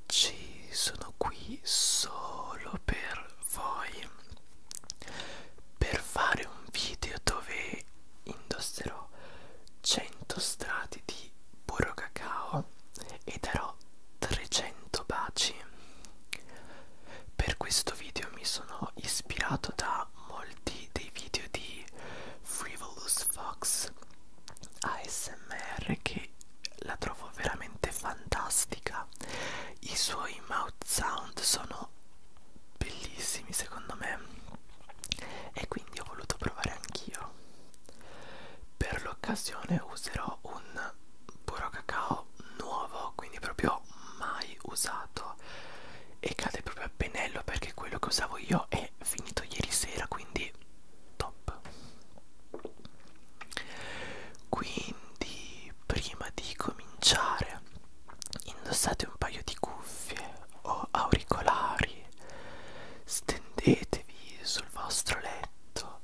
oggi sono qui solo per voi per fare un video dove indosserò 100 strati di burro cacao e darò 300 baci per questo video mi sono ispirato da molti dei video di Frivolous Fox ASMR che che la trovo veramente fantastica i suoi mouth sound sono bellissimi secondo me e quindi ho voluto provare anch'io per l'occasione userò un burro cacao nuovo quindi proprio mai usato e cade proprio a pennello perché quello che usavo io è finito ieri sera quindi quindi top quindi prima di cominciare indossate un paio di cuffie o auricolari stendetevi sul vostro letto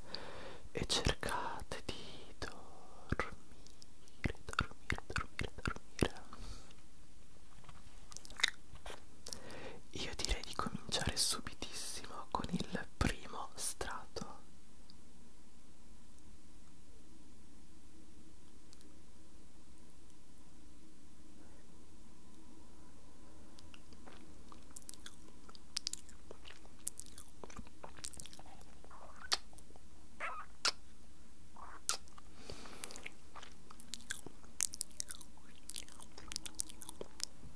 e cercate di dormire dormire dormire dormire io direi di cominciare subitissimo con il primo strato.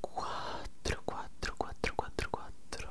Quatro, quatro, quatro, quatro, quatro.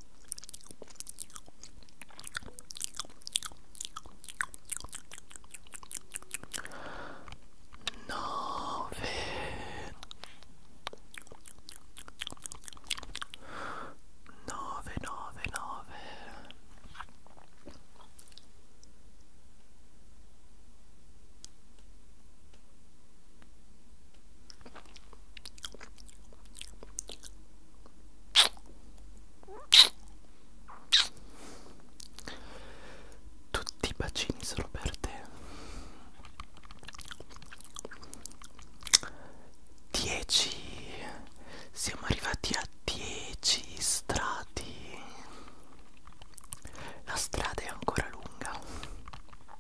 nove nove nove nove tutti i bacini sono per te. Dieci. Siamo arrivati a dieci strati. La strada è ancora lunga.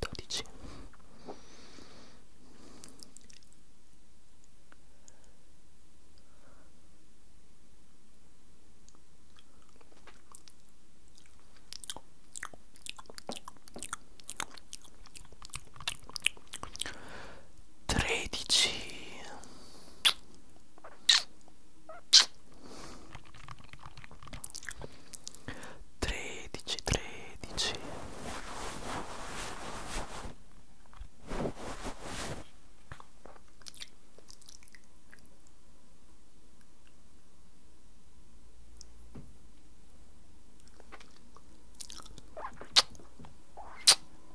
dodici tredici 13 13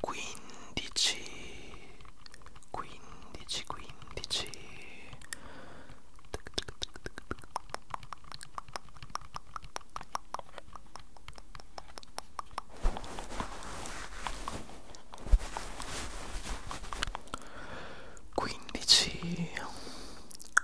quindici quindici quindici quindici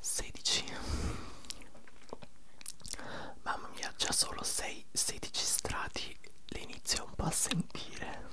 16 mamma mia già solo 6 16 strati le inizio un po' a sentire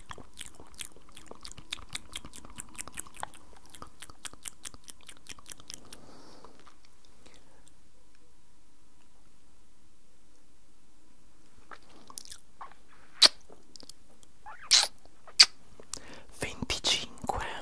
25 25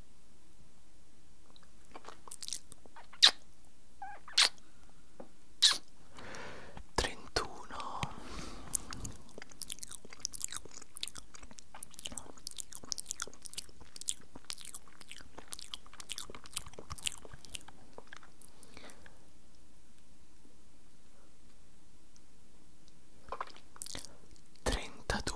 31 32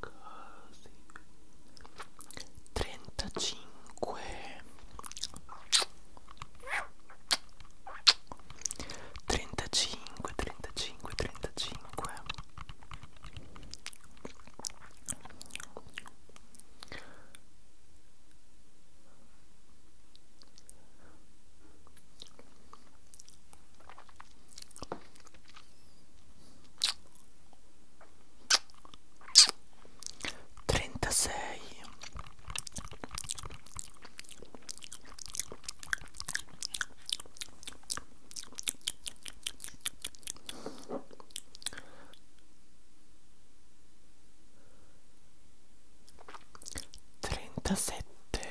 Così. 35 35 35 35 36 Trentasei trentasette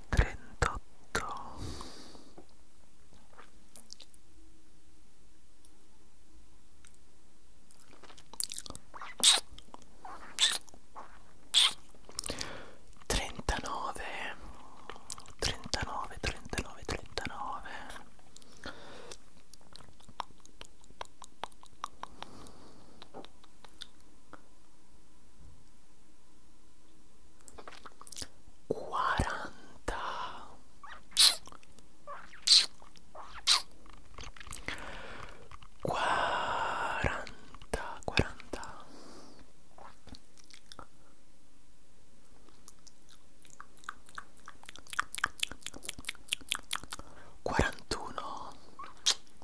trentotto trentanove trentanove trentanove trentanove 40 40 40 41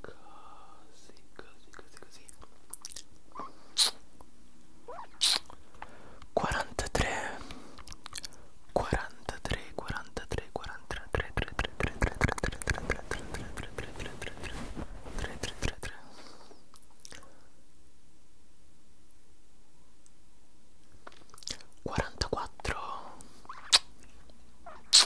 così così così così 43 43 43 43 3 44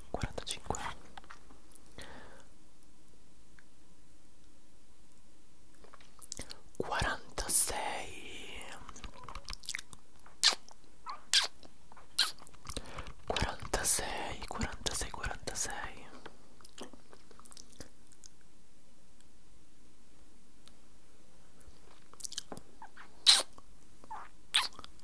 45 46 46 46 46 47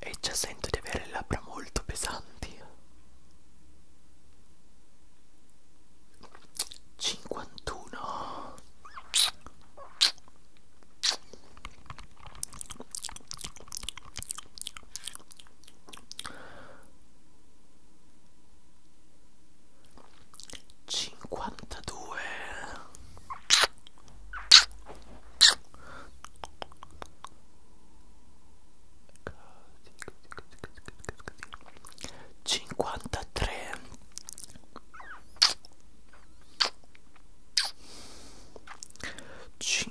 E già sento di avere le labbra molto pesanti. 51 52 53 53 53 53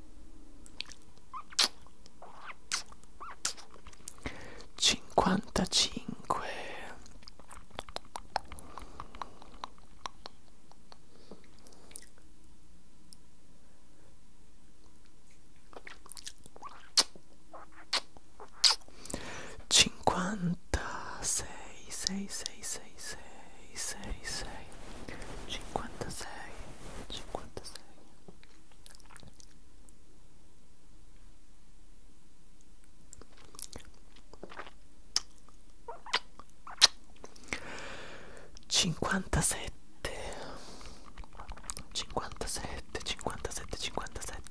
55 56 6 6 6 6 sei, sei, cinquantasei, cinquantasei. Cinquantasette, cinquantasette, cinquantasette, cinquantasette.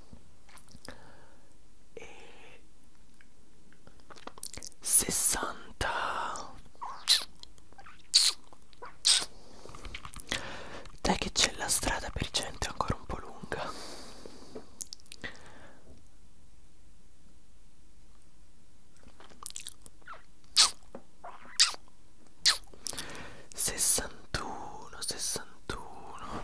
e 60 dai che c'è la strada per gente ancora un po' lunga Sessantuno, sessantuno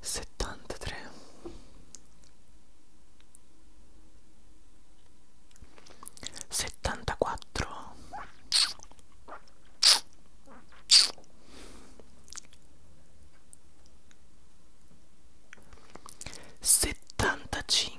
73 74 75 76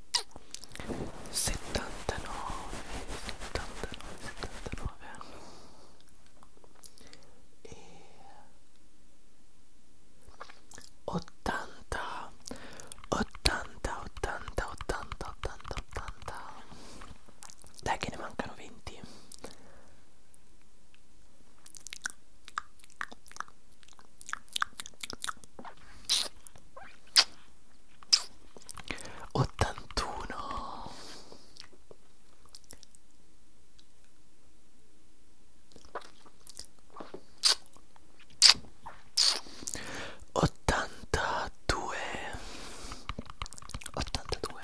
79 79 79 e 80 80 80 80 80 80 dai che ne mancano 20 80 81 82 82 81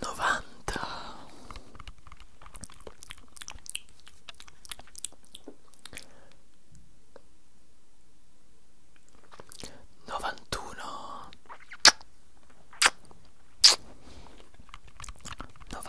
90 91 91 92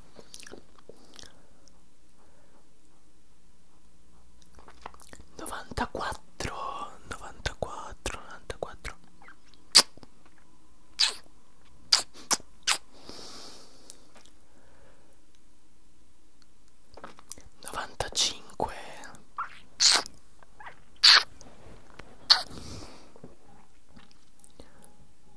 94 94 94 95 96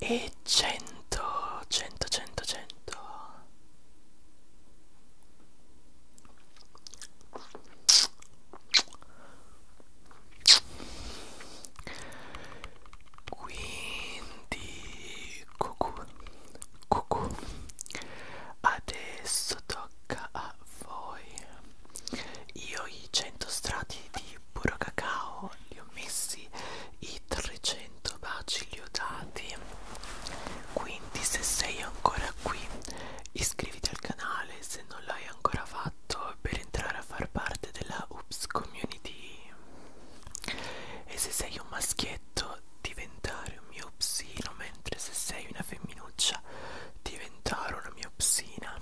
e 100 100 100 100 quindi cucù cucù adesso tocca a voi io i 100 strati di di puro cacao li ho messi i 300 baci li ho dati quindi se sei ancora qui iscriviti al canale se non l'hai ancora fatto per entrare a far parte della Oops Community e se sei un maschietto diventare un mio psino mentre se sei una femminuccia diventare una mia psina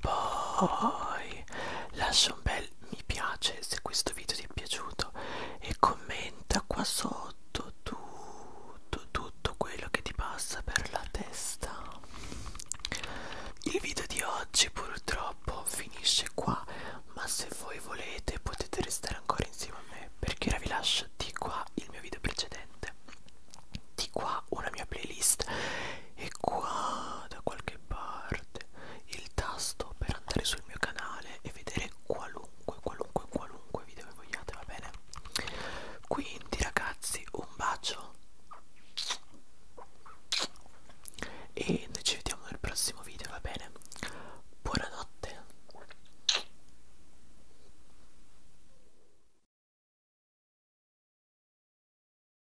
poi lascia un bel bel mi piace se questo video ti è piaciuto e commenta qua sotto tutto, tutto quello che ti passa per la testa. Il video di oggi purtroppo finisce qua, ma se voi volete potete restare ancora insieme a me perché ora vi lascio di qua il mio video precedente, di qua una mia playlist e qua da qualche qualche parte il tasto per andare sul mio canale e vedere qualunque, qualunque, qualunque video che vogliate, va bene? Quindi ragazzi, un bacio e noi ci vediamo nel prossimo video, va bene? Buonanotte.